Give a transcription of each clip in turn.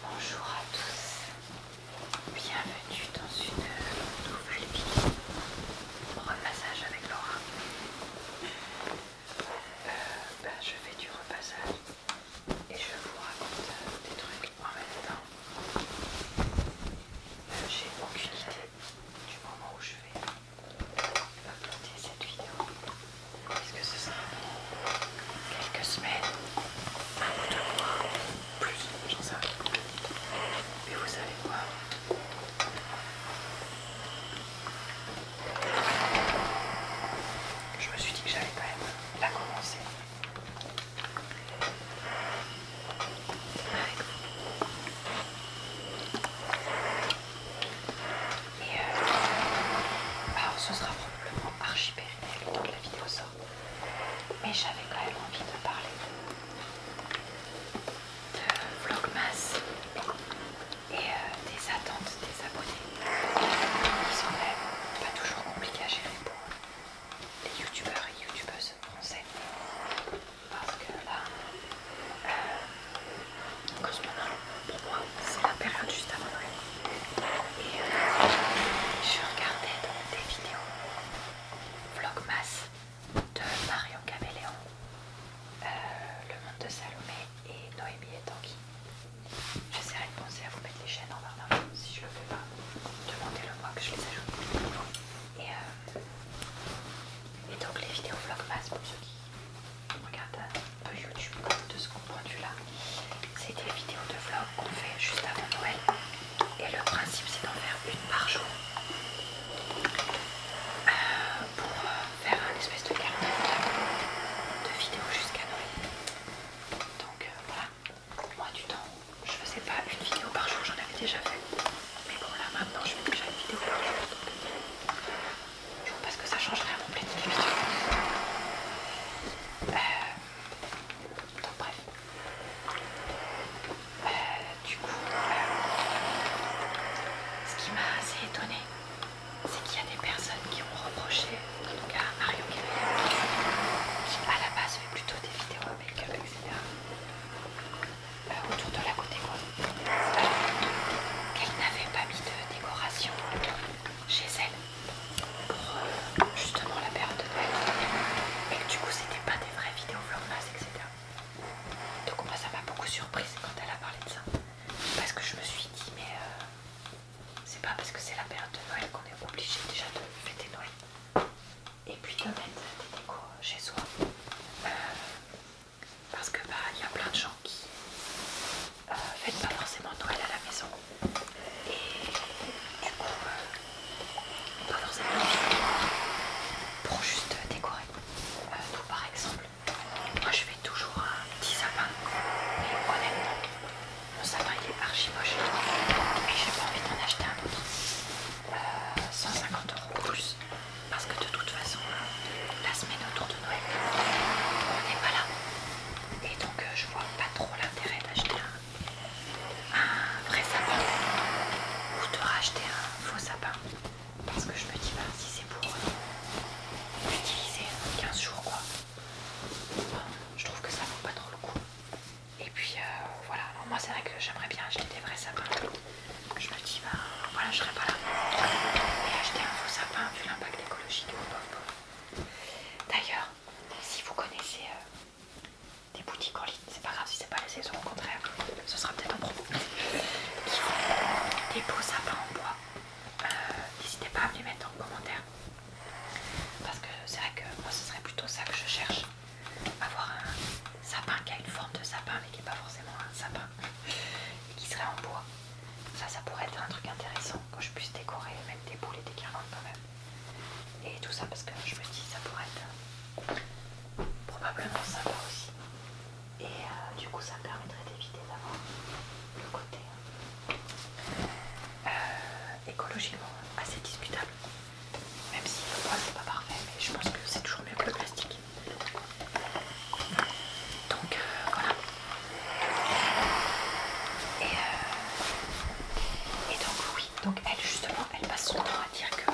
Bonjour à tous, bienvenue dans une nouvelle vidéo repassage avec Laura. Euh, ben, je fais du repassage et je vous raconte des trucs en même temps. Euh, j'ai aucune idée du moment où je vais planter cette vidéo. Qu'est-ce que c'est ça Quelques semaines, un ou de mois, plus, j'en sais rien. Mais vous savez quoi Je me suis dit que j'allais quand même la commencer. Et euh, alors ce sera probablement archipel la vidéo Mais j'avais quand même envie de parler de, Vlogmas et euh, des attentes des abonnés qui sont même pas toujours compliquées à gérer pour les youtubeurs et youtubeuses français. Parce que là, cause euh, en ce moment, pour moi, c'est la période juste avant Et euh, je regardais des vidéos vlogmas de Marion Caméléon, euh, Le Monde de Salomé et Noémie et Tanguy. J'essaierai de penser à vous mettre les chaînes en barre si je le fais pas. Demandez-le moi que je les ajoute. Et, euh, et donc les vidéos vlogmas pour ceux qui regardent peu YouTube de ce qu'on du là. C'est des vidéos de vlog qu'on fait juste avant Noël. Et le principe c'est d'en faire une par jour. Euh, pour euh, faire un espèce de carnet de vidéos jusqu'à Noël. Donc euh, voilà, moi du temps, je faisais pas une vidéo par jour, j'en avais déjà fait. Mais bon là maintenant je fais déjà une vidéo par jour. Parce que ça changerait à mon planning euh, bref. Euh, du coup, euh, ce qui m'a assez étonnée, c'est qu'il y a des personnes qui ont reproché, en tout cas Mario qui à la base fait plutôt des vidéos avec up etc. autour de la côté quoi. Qu'elle n'avait pas mis de décoration chez elle pour euh, justement la période de Noël. Et que du coup, c'était pas des vraies vidéos vlogmas, etc. Donc, moi, ça m'a beaucoup surprise quand elle a parlé de ça. Parce que je me suis dit, mais euh, c'est pas parce que c'est la période de Noël qu'on est obligé déjà de fêter Noël. Et puis de mettre des décos chez soi. Euh, parce que bah il y a plein de gens qui euh, faites pas forcément Noël à la maison. Et du coup, euh, pas forcément pour juste décorer. Tout euh, par exemple, moi je fais toujours un petit sapin. Et honnêtement, mon sapin il est archi moche. Et j'ai pas envie d'en acheter un autre. 150 euros plus. Parce que de toute façon, la semaine autour de Noël, on n'est pas là et donc euh, je vois pas trop l'intérêt d'acheter un, vrai sapin ou de racheter un faux sapin parce que je me dis bah, si c'est pour l'utiliser 15 jours quoi je trouve que ça vaut pas trop le coup et puis euh, voilà moi c'est vrai que j'aimerais bien acheter des vrais sapins je me dis bah, voilà je serais pas là et acheter un faux sapin vu l'impact écologique oh, D'ailleurs, si vous connaissez euh, des boutiques en ligne, c'est pas grave si c'est pas la saison, au contraire, ce sera peut-être un propos, Qui des beaux sapins en bois. Euh, n'hésitez pas à me les mettre en commentaire. Parce que c'est vrai que moi ce serait plutôt ça que je cherche. Avoir un sapin qui a une forme de sapin mais qui n'est pas forcément un sapin. Et qui serait en bois. Ça, ça pourrait être un truc intéressant que je puisse décorer, même des boules et des carottes quand même. Et tout ça parce que je me dis, ça pourrait être euh, probablement sympa aussi. Et euh, du coup, ça permettrait d'éviter d'avoir le côté euh, écologiquement assez discutable. Même si le bois c'est pas parfait, mais je pense que c'est toujours mieux que le plastique. Donc voilà. Euh, et, donc oui, donc elle justement, elle passe son temps à dire que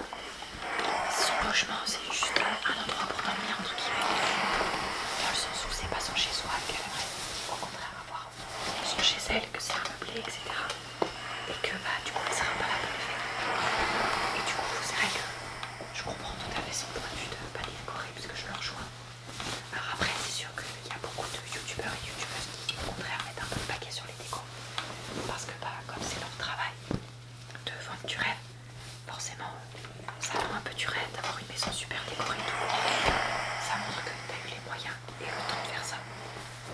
son logement c'est juste un endroit pour dormir entre guillemets, dans le sens où c'est pas son chez soi, qu'elle aimerait au contraire avoir son chez elle, que c'est meublé, etc. Et que bah du coup elle sera pas là pour le faire. Et du coup c'est vrai que je comprends totalement son point de vue de pas parce puisque je leur rejoins. Alors après c'est sûr qu'il y a beaucoup de youtubeurs et youtubeuses qui au contraire mettent un peu le paquet sur les décors, Parce que bah, comme c'est leur travail de vendre du rêve, forcément ça rend un peu du rêve d'avoir une maison super décorée. Ça montre que tu as eu les moyens et le temps de faire ça.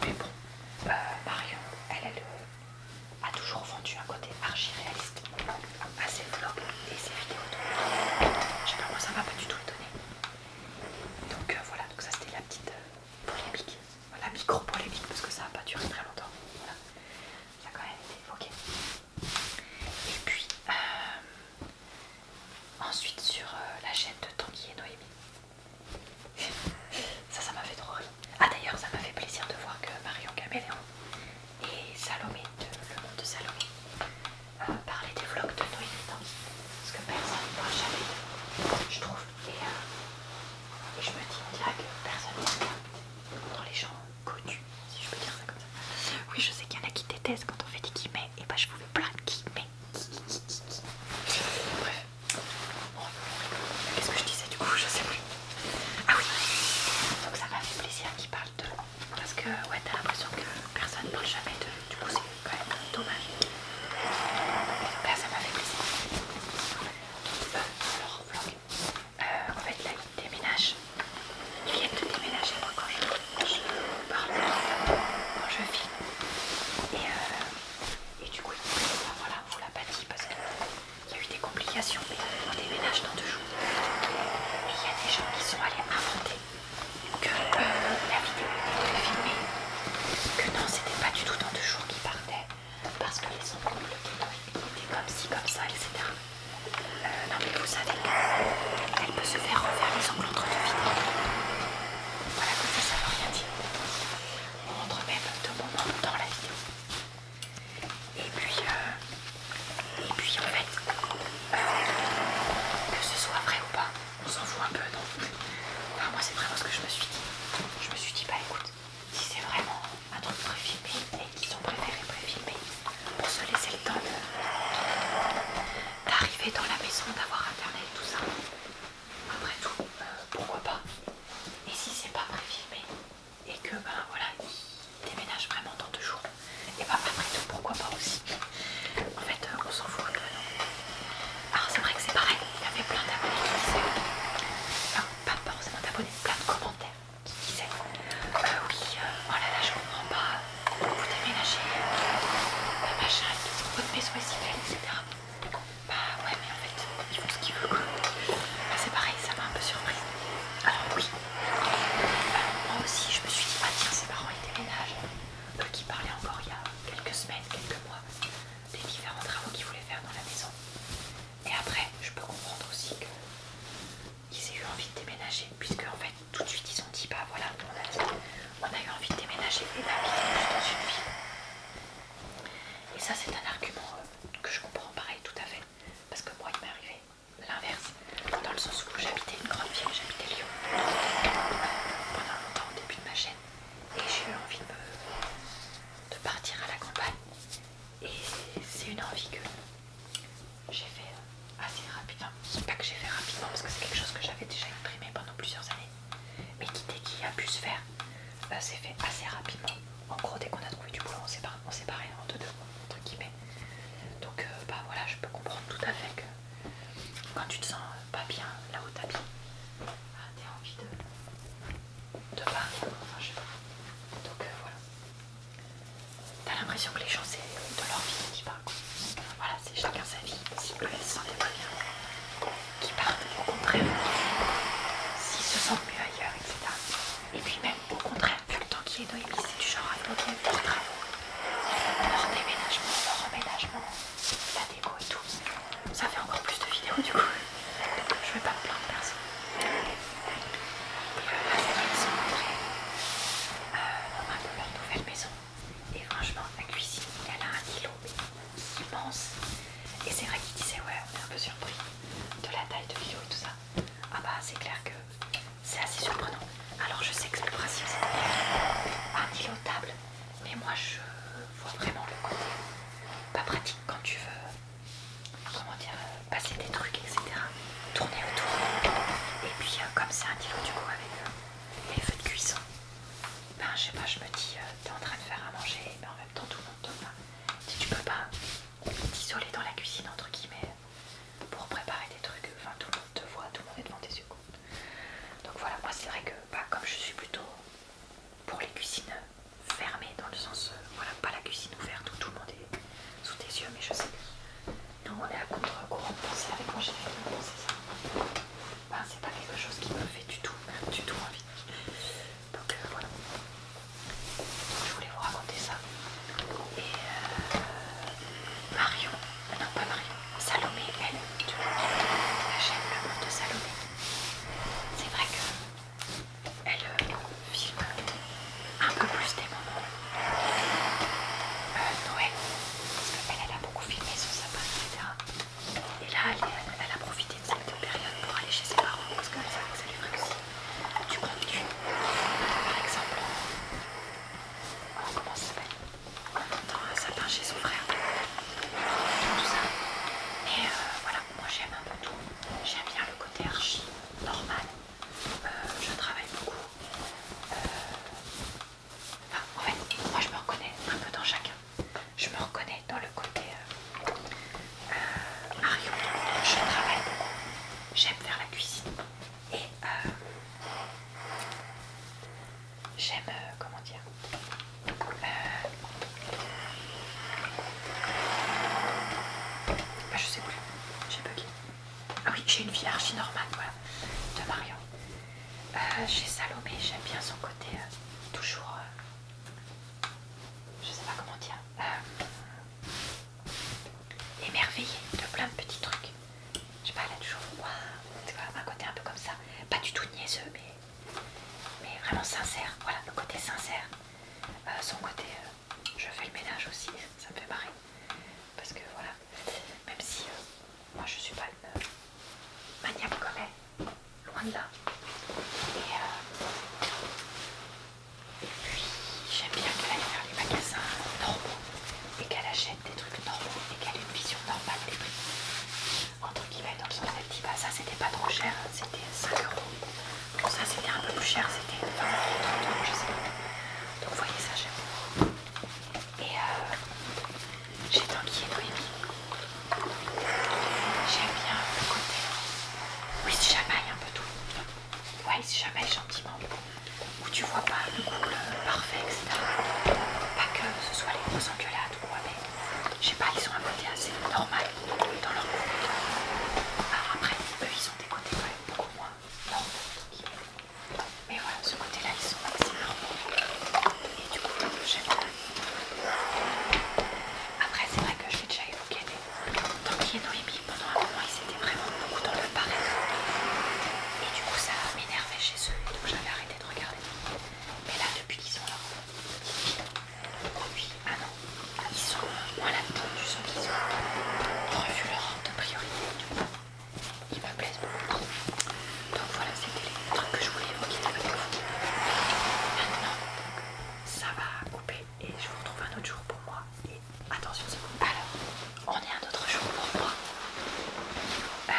Mais bon, euh, Marion, elle, elle euh, a toujours vendu un côté archi réaliste à ses vlogs et ses vidéos. je sais pas, moi ça m'a pas du tout étonné. Donc euh, voilà, donc ça c'était la petite euh, polémique, la micro polémique parce que ça n'a pas duré très longtemps. Voilà. Ça a quand même été évoqué. Et puis euh, ensuite sur la chaîne de Tanguy et Noémie. ça, ça m'a fait trop rire. Ah d'ailleurs, ça m'a fait plaisir de voir que Marion Caméléon et Salomé, de, le monde de Salomé, euh, parler des vlogs de Noémie parce que personne ne parle jamais je trouve. Euh, et, je me dis dirait que personne ne parle dans les gens connus, si je peux dire ça comme ça. Oui, je sais qu'il y en a qui détestent quand on fait des guillemets, et bah je vous fais plein de guillemets. Bref. Qu'est-ce que je disais du coup Je sais plus. Ah oui, donc ça m'a fait plaisir qu'ils parlent de parce que ouais, t'as l'impression que personne ne parle jamais Du coup, c'est quand même dommage. Là, ça m'a fait plaisir. Euh, euh, en fait, là, ils déménagent. Ils viennent de déménager moi quand je, parle, quand je filme. Et, euh, et du coup, bah, voilà, on l'a pas dit parce qu'il y a eu des complications. Mais on déménage dans deux jours. Et il y a des gens qui sont allés inventer que la vidéo était filmée, que non, c'était pas du tout dans deux jours qui partait parce que les ongles étaient comme ci, comme ça, etc. Euh, non, mais vous savez elle peut se faire refaire les ongles entre deux vidéos. Voilà, comme ça, ça veut rien dire. On même deux moments dans la vidéo. Et puis, euh, et puis en fait, euh, que ce soit vrai ou pas, on s'en fout un peu, non moi, c'est vraiment ce que je me suis dit. Je me suis dit, bah écoute, si c'est vraiment un truc préfilmé et qu'ils ont préféré préfilmer pour se laisser le temps d'arriver dans la maison, d'avoir internet, tout ça, après tout, euh, pourquoi pas Et si c'est pas préfilmé et que, ben voilà, il déménage vraiment dans deux jours. Et bah après tout, pourquoi pas aussi. En fait, euh, on s'en fout. Euh, Alors ah, c'est vrai que c'est pareil, il y avait plein d'abonnés qui disaient, enfin pas forcément d'abonnés, plein de commentaires qui disaient, euh, oui, voilà, oh là là, je comprends pas, vous déménagez, bah, Ma votre maison est si belle, etc. Bah ouais, mais en fait, il font ce qu'il veut. c'est pareil, ça m'a un peu surprise. Alors oui, moi aussi, je me suis dit, ah tiens, ses parents, ils déménagent. Eux qui parlaient encore il y a quelques semaines, quelques mois, des différents travaux qu'ils voulaient faire dans la maison. Et après, je peux comprendre aussi qu'ils aient eu envie de déménager, puisque en fait, tout de suite, ils ont dit, bah voilà, on a, eu envie de déménager et d'habiter bah, juste dans une ville. Et ça, c'est un argument euh, que je comprends pareil tout à fait. Parce que moi, il m'est arrivé l'inverse, dans le sens où j'habitais une grande ville, j'habitais Lyon pendant longtemps au début de ma chaîne et j'ai eu envie de, partir à la campagne et c'est une envie que j'ai fait euh, assez rapidement, enfin, pas que j'ai fait rapidement parce que c'est quelque chose que j'avais déjà exprimé pendant plusieurs années mais qui dès qu'il a pu se faire, c'est euh, s'est fait assez rapidement en gros dès qu'on a trouvé du boulot on s'est pas on deux deux entre guillemets donc euh, bah voilà, je peux comprendre tout à fait que quand tu te sens pas bien là où tapis, tu ah, t'as envie de, de enfin je sais pas. Donc euh, voilà. T'as l'impression que les gens c'est de leur vie qui parlent. Voilà, c'est chacun sa vie. Si eux se sentent pas bien, qui partent, au contraire, s'ils se sentent mieux ailleurs, etc. Et puis même au contraire, vu le temps qu'il est Noémie, c'est du genre à l'autre avec les travaux. Leur déménagement, leur emménagement, la déco et tout. Ça fait encore plus de vidéos du coup. Je je vais pas me plaindre personne. Et euh, ils la maison après, leur nouvelle maison. Et franchement, la cuisine, elle a un îlot immense. Et c'est vrai qu'ils disaient, ouais, on est un peu surpris de la taille de l'îlot et tout ça. Ah bah, c'est clair que c'est assez surprenant. Alors je sais que le principe c'est un îlot ah, table, mais moi je vois vraiment le côté pas pratique quand tu veux comment dire passer des trucs etc. Tourner autour. Et puis euh, comme c'est un îlot du coup avec euh, les feux de cuisson, ben je sais pas, je me dis euh, t'es en train de faire à manger, mais ben, en même temps tout le monde Si tu peux pas t'isoler dans la cuisine entre guillemets, pour préparer des trucs, enfin tout le monde te voit, tout le monde est devant tes yeux. Donc voilà, moi c'est vrai que bah, comme je suis plutôt pour les cuisines fermées, dans le sens, euh, voilà, pas la cuisine ouverte où tout le monde est sous tes yeux, mais je sais que nous on est à contre-courant penser avec mon général ça. Ben, c'est pas quelque chose qui me fait du tout, du tout envie. Donc euh, voilà. je voulais vous raconter ça. Et euh, Marion, euh, non pas Marion, Salomé, elle, tu vois, chaîne le monde de Salomé. C'est vrai que elle euh, filme un peu plus des moments euh, Noël, parce qu'elle elle a beaucoup filmé sa sapin, etc. Et là, elle, a profité de cette période pour aller chez ses parents, parce qu'elle savait que ça lui ferait aussi du contenu. Par exemple, comment ça s'appelle. entend un sapin chez son frère. Tout ça. Et euh, voilà, moi j'aime un peu tout. J'aime bien le côté archi normal. Euh, je travaille beaucoup. Euh, enfin, en fait, moi je me reconnais un peu dans chacun. Je me reconnais dans le côté Mario. Je travaille beaucoup. J'aime faire la cuisine. Et euh, j'aime, euh, comment dire, euh, ah, je sais plus, j'ai bugué. Ah oui, j'ai une vie archi normale, de Marion. j'ai Salomé, j'aime bien son côté, toujours, je sais pas comment dire, émerveillée de plein de petits trucs. Je sais pas, elle a toujours un côté un peu comme ça, pas du tout niaiseux, mais, mais vraiment sincère. Voilà, le côté sincère, euh, son côté euh, je fais le ménage aussi, ça me fait marrer. Parce que voilà, même si euh, moi je suis pas une maniaque comme elle, loin de là. Et, euh, et puis j'aime bien qu'elle aille faire les magasins normaux et qu'elle achète des trucs normaux et qu'elle ait une vision normale des prix. Entre guillemets, dans le sens elle dit bah ça c'était pas trop cher, c'était 5 euros. ça c'était un peu plus cher, c'était 20 30 euros, je sais pas. Donc vous voyez ça j'aime. beaucoup. Et euh, j'ai tant qu'il est J'aime bien le côté. Oui, si j'amaille un peu tout ouais, se jamais gentiment, Ou tu vois pas le couple euh, parfait, etc. Pas que ce soit les gros engueulades ou quoi, mais je sais pas, ils ont un côté assez normal dans leur couple. Alors après, eux ils ont des côtés quand même beaucoup moins normaux. Mais voilà, ce côté-là, ils sont assez normaux. Et du coup, j'aime bien. Après, c'est vrai que je l'ai déjà évoqué, mais tant qu'il y a Noémie pendant un moment ils étaient vraiment beaucoup dans le pareil et du coup ça m'énervait chez eux donc j'avais arrêté de regarder mais là depuis qu'ils sont là, depuis un an ils sont moins là-dedans du sens qu'ils ont revu leur ordre de priorité du coup ils me plaisent beaucoup donc voilà c'était les trucs que je voulais évoquer maintenant ça va couper et je vous retrouve un autre jour pour moi attention c'est bon. Alors, on est un autre jour pour moi. Euh,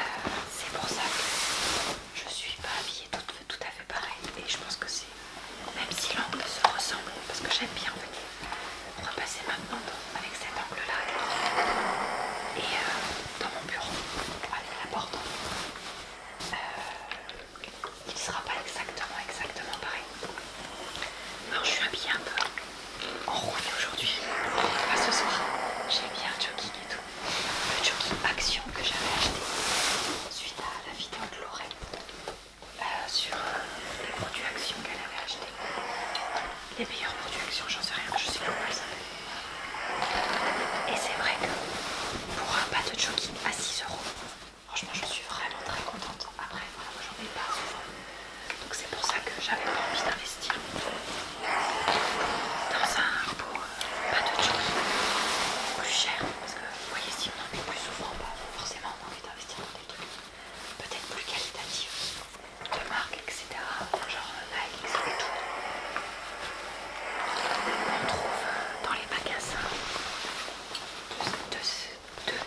c'est pour ça que je suis pas habillée tout, à fait pareil. Et je pense que c'est, même si l'angle se ressemble, parce que j'aime bien en fait, repasser maintenant avec cet angle-là et euh, dans mon bureau, à la porte. Euh, il ne sera pas exactement exactement pareil. Alors je suis habillée un peu en aujourd'hui, pas ce soir. J'ai mis un jogging et tout. Le jogging Action que j'avais acheté suite à la vidéo de Lorraine euh, sur euh, les produits Action qu'elle avait acheté. Les meilleurs produits Action, j'en sais rien, je sais pas Et c'est vrai que pour un pas de jogging à 6 euros, franchement, je suis vraiment très contente. Après, voilà, moi j'en ai pas souvent. Donc c'est pour ça que j'avais envie d'investir dans un repos euh, pas de choses plus cher. Parce que vous voyez, si on en met plus souvent, bah, forcément on a envie d'investir dans des trucs peut-être plus qualitatifs de marque, etc. Genre euh, et tout On trouve dans les magasins de ce type.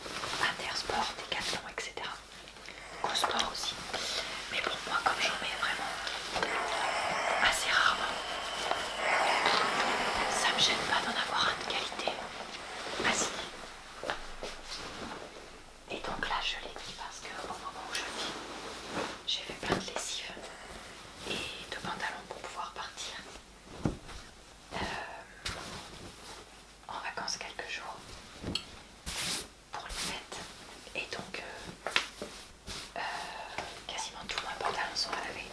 Intersport, Decathlon, etc. sport aussi. Mais pour moi, comme j'en mets vraiment assez rarement, ça me gêne pas d'en avoir un de qualité Vas-y. Ah, et donc là, je l'ai mis parce qu'au moment où je le vis, j'ai fait plein de lessives et de pantalons pour pouvoir partir. Euh, en vacances quelques jours pour les fêtes et donc euh, euh, quasiment tous mes pantalons sont à laver.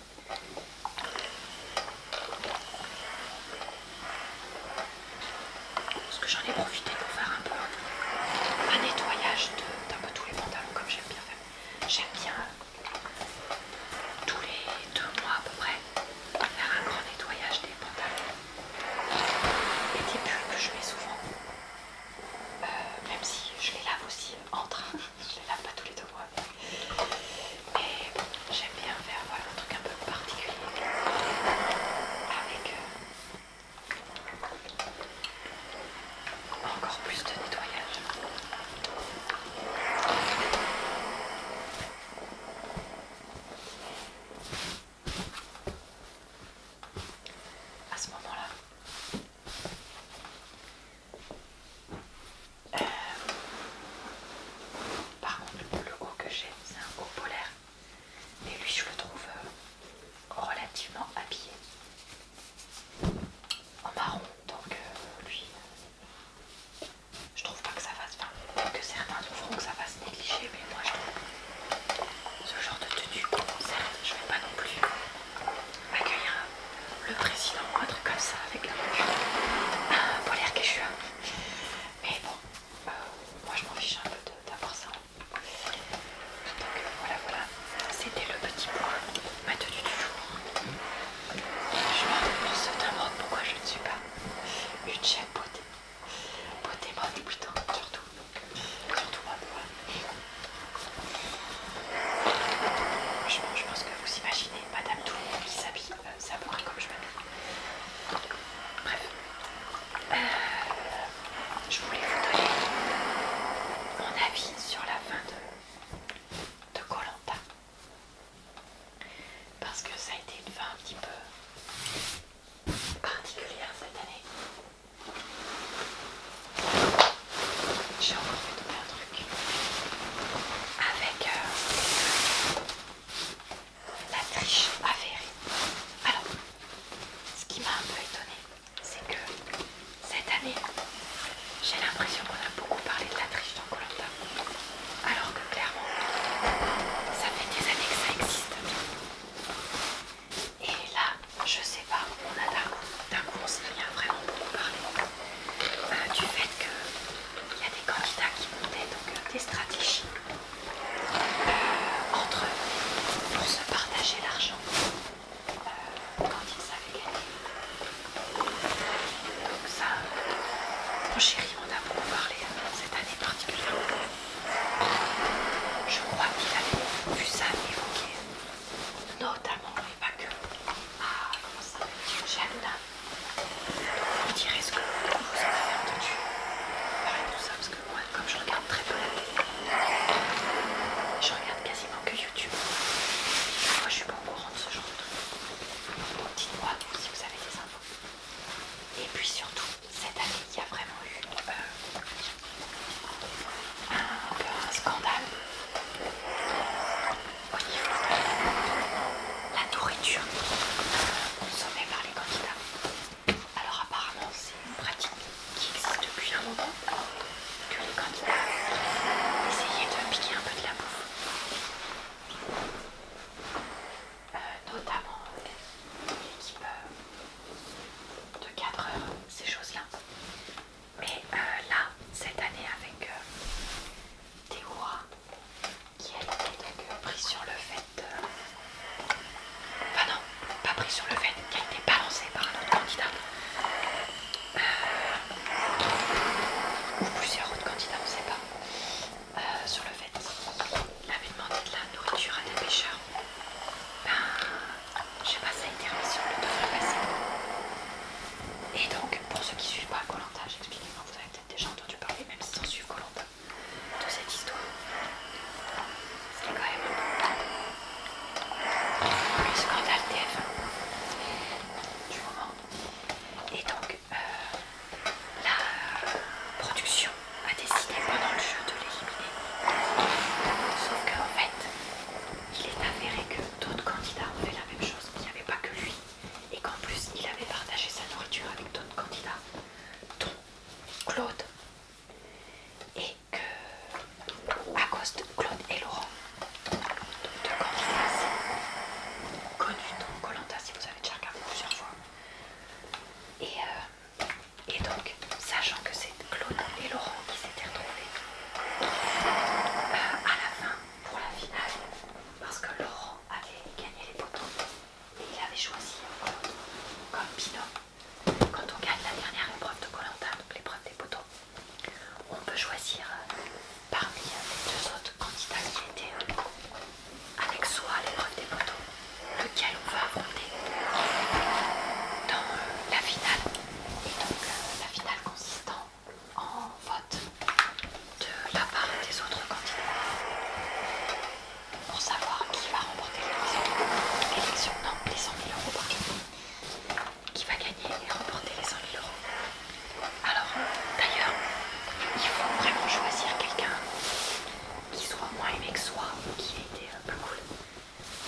Parce que j'en ai profité pour faire un peu un nettoyage d'un peu tous les pantalons comme j'aime bien faire. J'aime bien tous les deux mois à peu près faire un grand nettoyage des pantalons et des que je mets souvent, euh, même si je les lave aussi euh, en train, je les lave pas tous les deux mois. Et j'aime bien faire voilà, un truc un peu particulier avec euh, encore plus de nettoyage. À ce moment-là, euh, par contre, le haut que j'ai, c'est un haut polaire, mais lui, je le trouve euh, relativement habillé en marron, donc euh, lui, je trouve pas que ça fasse, enfin que certains trouveront que ça fasse négliger, mais moi je trouve ce genre de tenue pour concert, je vais pas non plus accueillir euh, le président ou un truc comme ça avec un, un polaire suis. Mais bon, euh, moi je m'en fiche un peu d'avoir ça. Donc voilà, voilà, c'était le petit point, ma tenue du jour. Je me demande pourquoi je ne suis pas une chaîne beauté. Beauté mode putain, surtout. Surtout mode, ouais. Je, je pense que vous imaginez Madame Tout le monde qui s'habille, c'est euh, comme je m'habille. Bref. Euh, je voulais vous donner mon avis sur la fin de Colanta. Parce que ça a été une fin un petit peu particulière cette année. J'ai encore fait tomber un truc avec euh, la triche avérée. Alors, ce qui m'a un peu étonnée, c'est que cette année, j'ai l'impression qu'on a beaucoup parlé de la triche dans Colanta alors que clairement ça fait des années que ça existe et là je sais pas on a d'un coup on se vient vraiment beaucoup parler euh, du fait qu'il y a des candidats qui montaient donc euh, des stratégies euh, entre eux pour se partager l'argent quand ils savaient gagner donc ça mon chéri on a beaucoup parlé cette année particulière, Je crois qu'il avait vu ça évoqué, notamment, mais pas que, ah comment ça à Jaluna. Vous direz ce que vous en avez entendu. Pareil tout ça, parce que moi, comme je regarde très peu la télé, je regarde quasiment que YouTube. Moi, je suis pas au courant de ce genre de truc. Dites-moi si vous avez des infos. Et puis surtout, cette année, il y a vraiment eu euh, un, scandale au niveau de la nourriture euh, consommée par les candidats. Alors apparemment, c'est une pratique qui existe depuis un moment que les candidats essayaient de piquer un peu de la bouffe. Euh, notamment l'équipe euh, euh, de de heures ces choses-là. Mais là, cette année, avec Théo qui a été donc prise sur le fait. Enfin, non, pas prise sur le fait qui a été balancée par un autre candidat. Ou plusieurs autres candidats, on ne sait pas. Euh, sur le fait qu'il avait demandé de la nourriture à des pêcheurs. Ben, je sais pas, ça a été sur le passer. Et donc, pour ceux qui suivent pas Colanta, j'explique-moi, vous avez peut-être déjà entendu parler, même si sans suivre Colantage, de cette histoire. c'est quand même un peu le scandale tf du moment. Et donc, euh, la production a décidé pendant le jeu de l'éliminer. Sauf qu'en fait, il est avéré que d'autres candidats ont fait la même chose, qu'il n'y avait pas que lui, et qu'en plus il avait partagé sa nourriture avec d'autres candidats, dont Claude, et que à cause de Claude et Laurent, donc deux candidats connus dans Colanta, si vous j'ai plusieurs fois. Et, euh, et donc, sachant que c'est Claude et Laurent qui s'étaient retrouvés euh, à la fin pour la finale, parce que Laurent avait gagné les poteaux et il avait choisi comme pinot, Quand on gagne la dernière épreuve de Colanta, donc l'épreuve des poteaux, on peut choisir euh, parmi les deux autres candidats qui étaient euh, avec soi à l'épreuve des photos, lequel on va affronter dans euh, la finale. Et donc euh, la finale consistant en vote de la part des autres candidats pour savoir qui va remporter l'élection. les 100 000 euros qui va gagner et remporter les 100 000 euros. Alors, d'ailleurs, il faut vraiment choisir quelqu'un qui soit moins aimé que soi ou qui ait été un euh, peu cool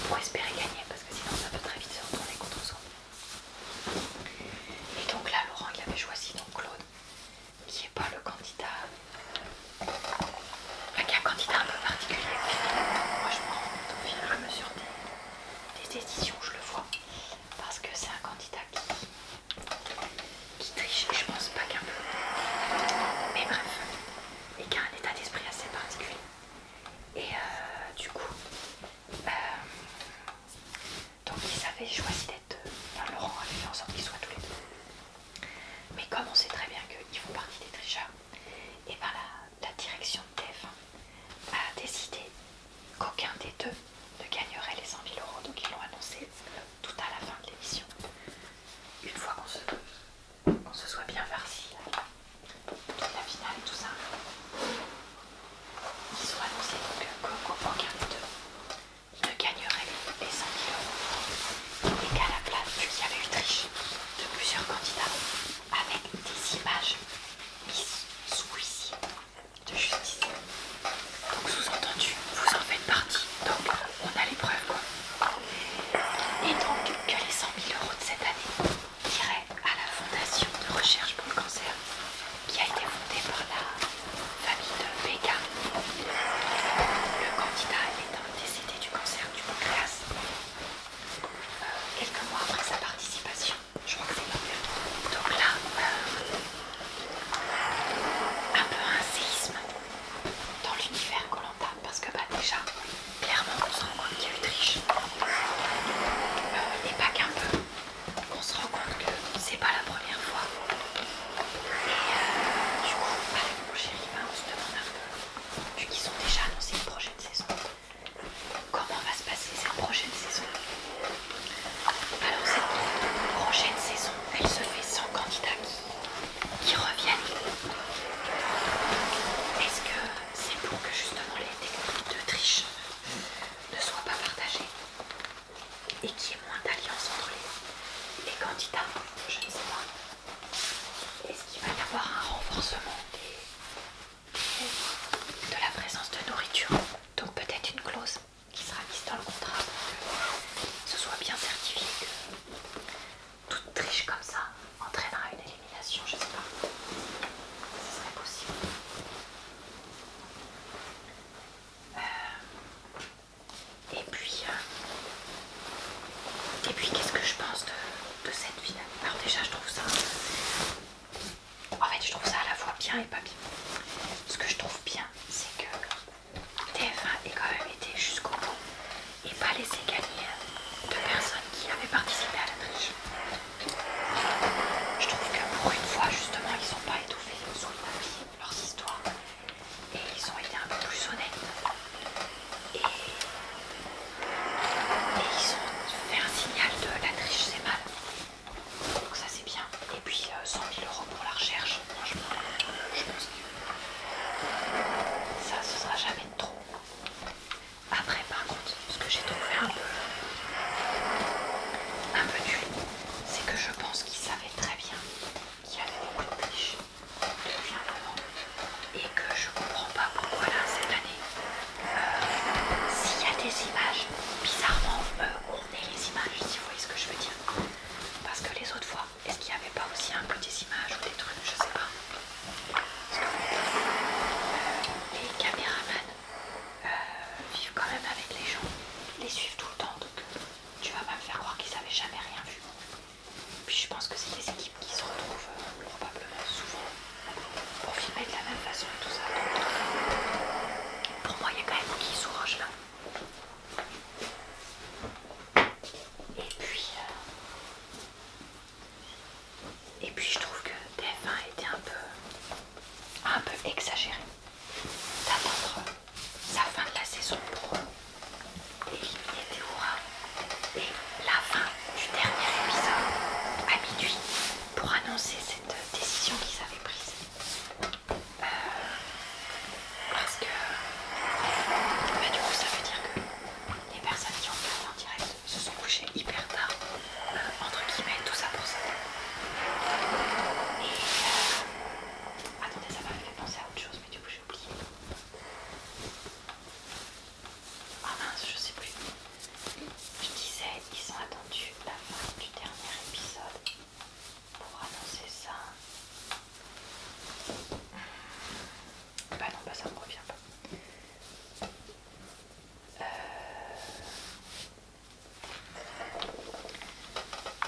pour espérer gagner parce que sinon ça peut très vite se retourner contre soi. Et donc là, Laurent il avait choisi donc Claude qui n'est pas le candidat, enfin, qui est un candidat un peu particulier. Moi je me rends au fur et à mesure des, des éditions, je le vois parce que c'est un candidat qui qui triche, je pense pas qu'un peu, mais bref, et qui a un état d'esprit assez particulier. Et euh, du coup, euh, donc ils avaient choisi d'être, euh, Laurent avait fait en sorte qu'ils soient tous les deux. Mais comme on sait très bien qu'ils font partie des tricheurs, et par ben, la, direction de tf a décidé qu'aucun des deux ne gagnerait les 100 000 euros, donc ils l'ont annoncé tout à la fin de l'émission. Une fois qu'on se, soit bien farci, toute la finale et tout ça, ils ont annoncé qu'aucun des deux ne gagnerait les 100 000 euros et qu'à la place, qu'il y avait une triche de plusieurs candidats avec des images mises sous ici de justice. Donc sous-entendu, vous en faites partie. Donc on a les preuves Et donc que les 100 000 euros de cette année iraient à la fondation de recherche pour le cancer qui a été fondée par la famille de Béga. Le candidat étant décédé du cancer du pancréas euh, quelques mois après sa participation je crois que c'est pas bien. Donc là, euh, un peu un séisme dans l'univers qu'on a parce que bah déjà, clairement on se rend compte qu'il y a eu triche. Euh, et pas qu'un peu. On se rend compte que c'est pas la première fois. Et euh, du coup, avec mon chéri, bah, on se demande un peu, vu qu'ils ont déjà annoncé une prochaine saison, comment va se passer cette prochaine saison. Alors cette prochaine saison, elle se fait sans candidats qui, reviennent. Est-ce que c'est pour que justement les techniques de triche ne soient pas partagées et qu'il y ait moins d'alliance entre les, candidats Je ne sais pas. Est-ce qu'il va y avoir un renforcement de la présence de nourriture Donc peut-être une clause qui sera liste dans le contrat pour que ce soit bien certifié que toute triche comme ça entraînera une élimination, je sais pas. Ce serait possible. Euh, et puis, euh, et puis qu'est-ce que je pense de, de cette ville Alors déjà, je trouve ça en fait, je trouve ça à la fois bien et pas bien. Ce que je trouve bien, c'est que TF1 ait quand même été jusqu'au bout et pas laissé gagner de personnes qui avaient participé à la triche. Je trouve que pour une fois, justement, ils n'ont pas étouffé sous les papiers leurs histoires et ils ont été un peu plus honnêtes. et ils ont fait un signal de la triche, c'est mal. Donc ça c'est bien. Et puis 100 euh, 000 euros pour la recherche, franchement, je pense que ça ce sera jamais de trop. Après par contre, ce que j'ai trouvé un peu, un peu nul, c'est que je pense qu'ils savaient très bien qu'il y avait beaucoup de depuis un moment et que je comprends pas pourquoi là cette année, euh, s'il y a des images bizarrement euh, les images, si vous voyez ce que je veux dire. Parce que les autres fois, est-ce qu'il n'y avait pas aussi un peu des images ou des trucs, je sais pas. Euh, les caméramans euh, vivent quand même avec les gens, les suivent tout le temps, donc tu vas pas me faire croire qu'ils n'avaient jamais rien vu. Puis je pense que c'est des équipes qui se retrouvent euh, probablement souvent pour filmer de la même façon et tout ça. Pour moi, il y a quand même qui sous là. Et puis, euh, et puis je trouve que TF1 était un peu, un peu exagéré d'attendre sa fin de la saison pour éliminer Théora. et la fin du dernier épisode à minuit pour annoncer cette décision qu'ils avaient prise parce que bah, du coup ça veut dire que les personnes qui ont fait en direct se sont couchées hyper tard, euh, entre guillemets, tout ça pour ça. Et euh, attendez, ça m'a fait penser à autre chose, mais du coup j'ai oublié. Ah mince, je sais plus. Je disais, ils ont attendu la fin du dernier épisode pour annoncer ça. Bah non, bah ça me revient pas. Euh,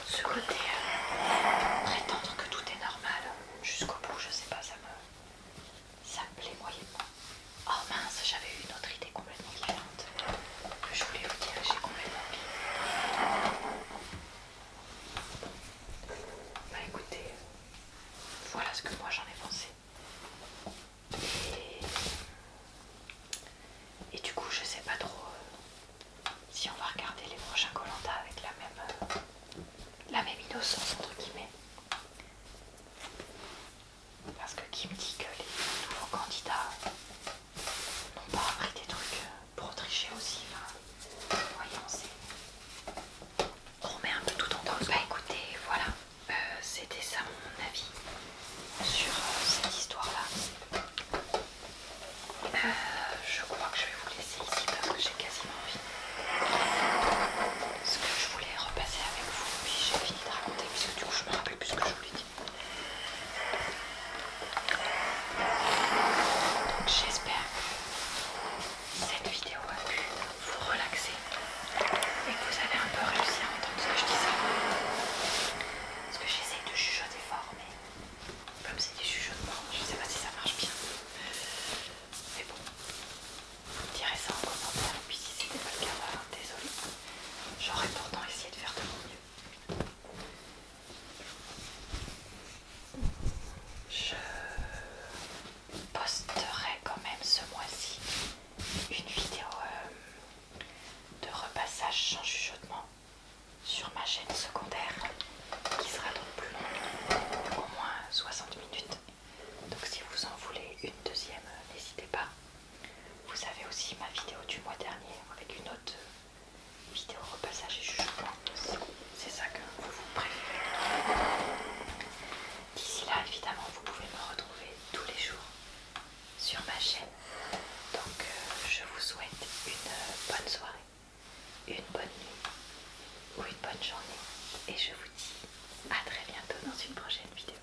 ce côté euh, prétendre que tout est normal jusqu'au bout, je sais pas, ça me, ça me plaît moyennement. Oh mince, j'avais eu une autre idée elle est complètement Je voulais vous dire, j'ai complètement Bah écoutez, voilà ce que moi j'en ai pensé. Et... du coup, je sais pas trop euh, si on va regarder les prochains Colanta avec la même, euh, la même innocence entre guillemets. Parce que qui me dit que les nouveaux candidats n'ont pas appris des trucs euh, pour tricher aussi. voyons, c'est. On remet un peu tout en temps. Bah écoutez, voilà. Euh, c'était ça mon avis sur euh, cette histoire-là. je crois que je vais vous laisser ici parce que j'ai quasiment envie. ce que je voulais repasser avec vous. Puis j'ai fini de raconter, puisque du coup je me rappelle plus ce que je voulais dire. Donc j'espère que cette vidéo a pu vous relaxer et que vous avez un peu réussi à entendre ce que je disais. Parce que j'essaye de jugeoter fort, mais comme c'est des chuchotements, je ne sais pas si ça marche bien. Mais bon, vous direz ça en commentaire. Et puis si c'était pas le cas, bah, désolé. J'aurais pourtant essayé de faire de mon mieux. Je posterai quand même ce mois-ci une vidéo euh, de repassage sans chuchotement sur ma chaîne secondaire qui sera donc plus longue, au moins 60 minutes. Donc si vous en voulez une deuxième, euh, n'hésitez pas. Vous avez aussi ma vidéo du mois dernier avec une autre vidéo repassage et jugement C'est ça que vous, vous préférez. D'ici là, évidemment, vous pouvez me retrouver tous les jours sur ma chaîne. Donc, euh, je vous souhaite une bonne soirée, une bonne nuit ou une bonne journée. Et je vous dis à très bientôt dans une prochaine vidéo.